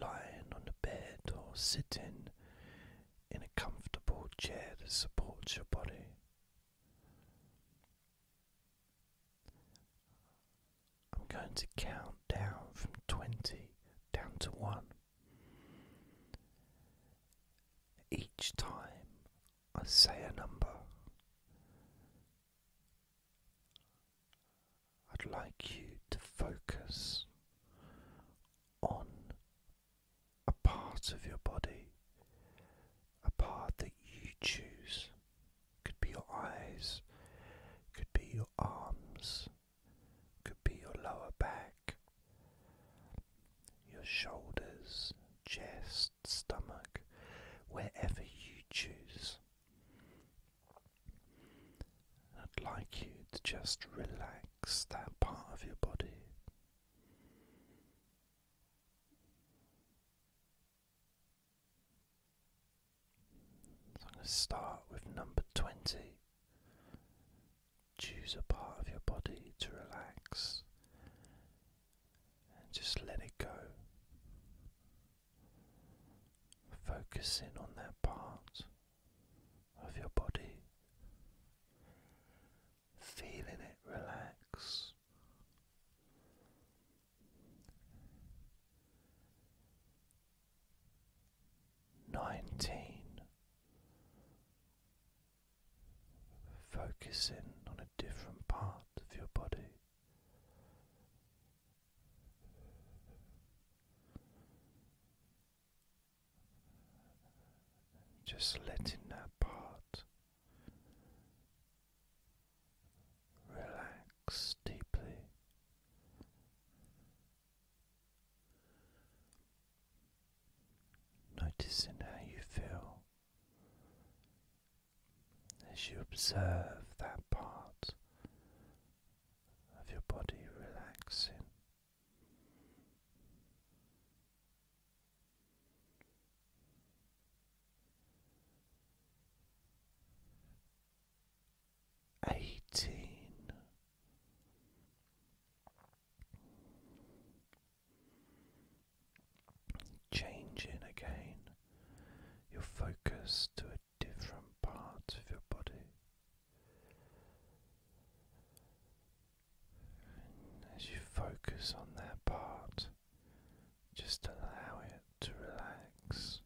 lying on the bed or sitting in a comfortable chair that supports your body. I'm going to count down from 20 down to 1. Each time I say a number, I'd like you to focus on a part of your body, a part that you choose. Could be your eyes, could be your arms, could be your lower back, your shoulders, chest, stomach, wherever you choose. I'd like you to just relax that part of your body. So I'm going to start with number 20. Choose a part of your body to relax and just let it go. Focus in on that part of your body, feeling it relax. Nineteen, focusing on a different part of your body. Just letting that part relax deeply. Noticing how you feel as you observe that part of your body relaxing. Eighteen, changing again your focus to different part of your body. as you focus on that part, just allow it to relax.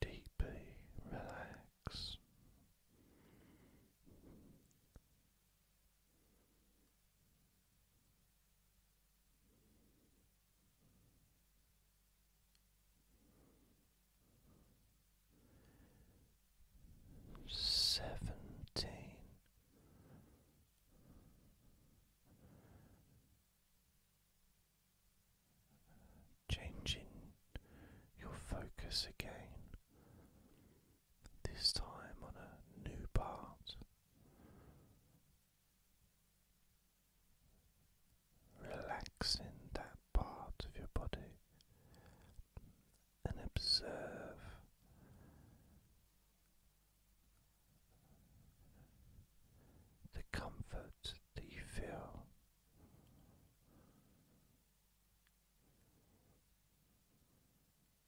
Deeply relax, Seventeen. Changing your focus again this time on a new part. relax in that part of your body and observe the comfort that you feel.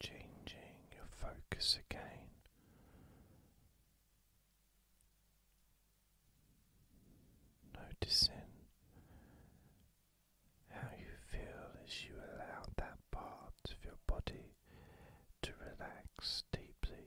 Changing your focus again. Noticing how you feel as you allow that part of your body to relax deeply.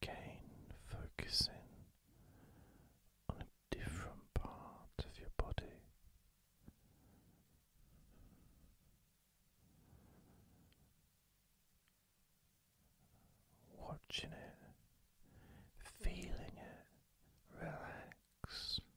Again, focusing on a different part of your body. Watching it, feeling it relax.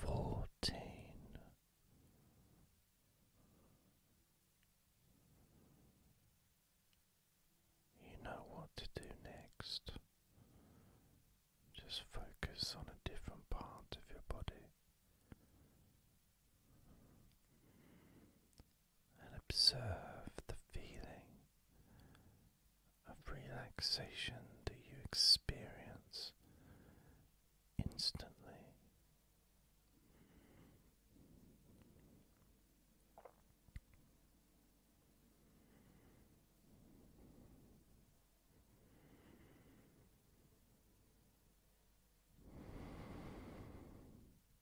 fourteen, you know what to do next. Just focus on a different part of your body and observe the feeling of relaxation that you experience instantly.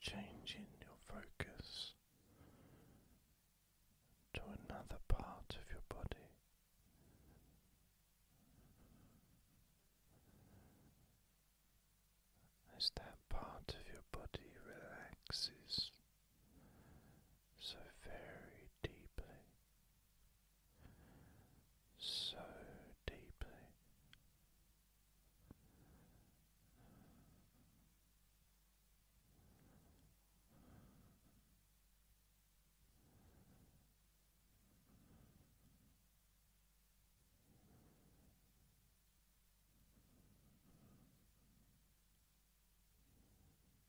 Changing your focus to another part of your body. As that part of your body relaxes, so very deeply, so deeply.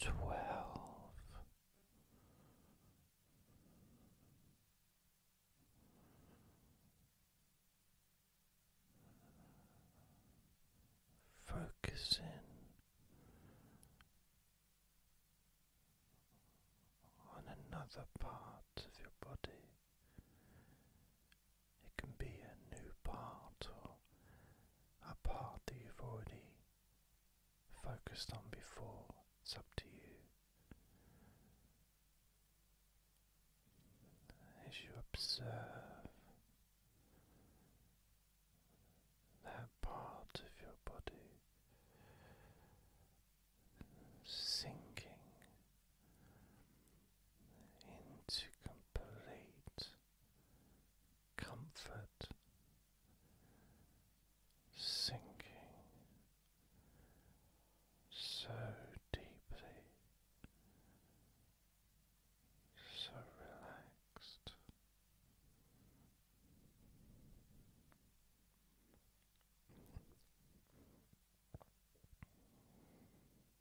twelve. Focusing on another part of your body, it can be a new part or a part that you've already focused on before. It's up to you. As you observe that part of your body sinking into complete comfort, sinking so deeply, so relaxed.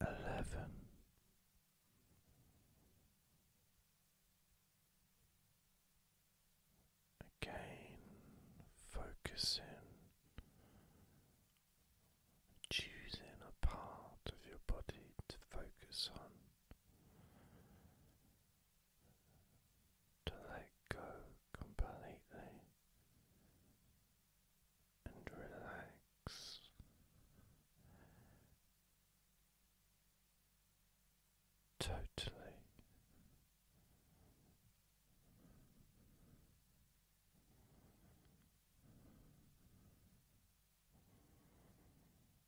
eleven. Again, focusing, choosing a part of your body to focus on to let go completely and relax. Totally.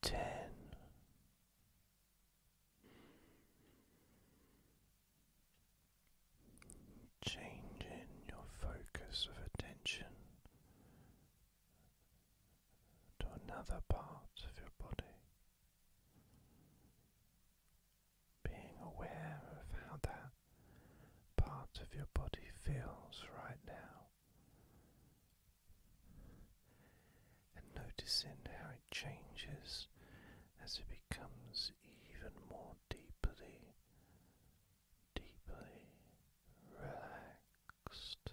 ten changing your focus of attention to another part of your body being aware of how that part of your body feels right now, and noticing how it changes as it becomes even more deeply, deeply relaxed.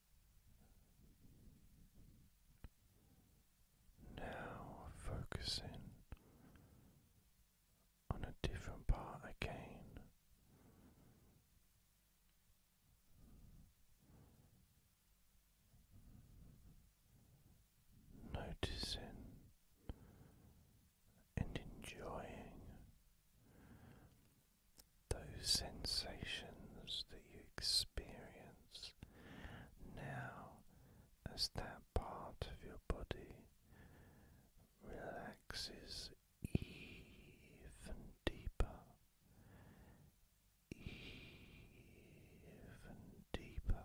Now focusing on a different part again. Noticing and enjoying those sensations that you experience now as that part of your body relaxes even deeper, even deeper.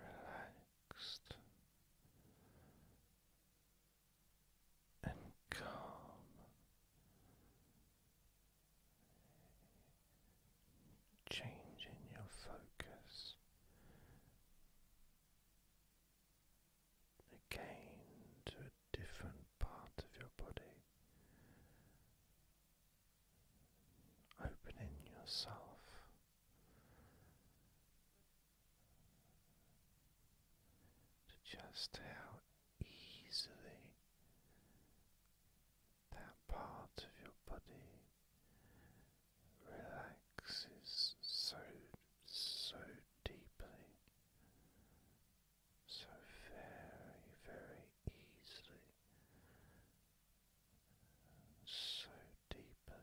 relaxed and calm. Changing your focus again to a different part of your body, opening yourself to just how easily that part of your body relaxes so so deeply so very very easily so deeply deeply.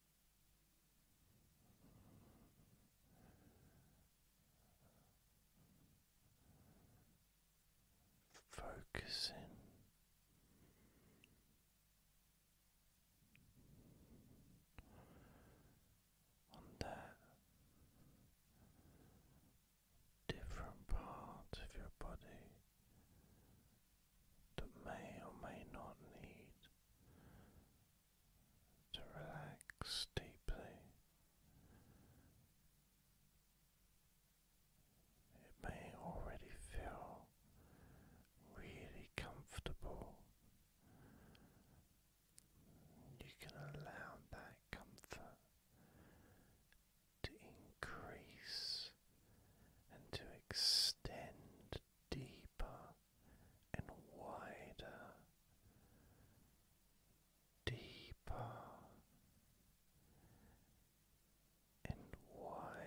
Focusing on that different part of your body that may or may not need to relax deeply. It may already feel really comfortable. You can allow that comfort to increase and to extend deeper and wider, deeper and wider.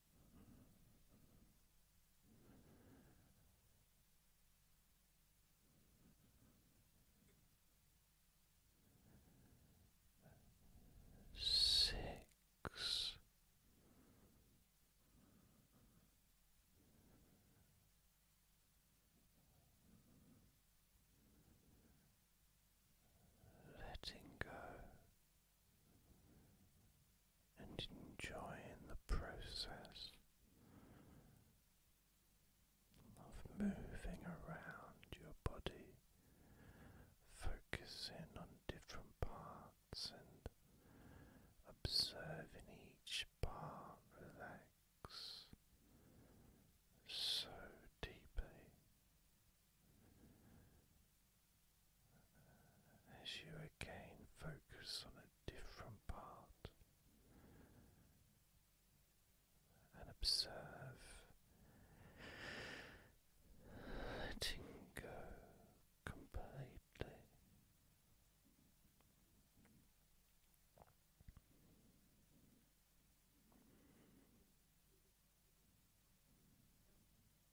Six. Letting go and enjoying the process of moving around your body, focusing on different parts and observing each part relax so deeply as you again focus on a different part and observe letting go completely.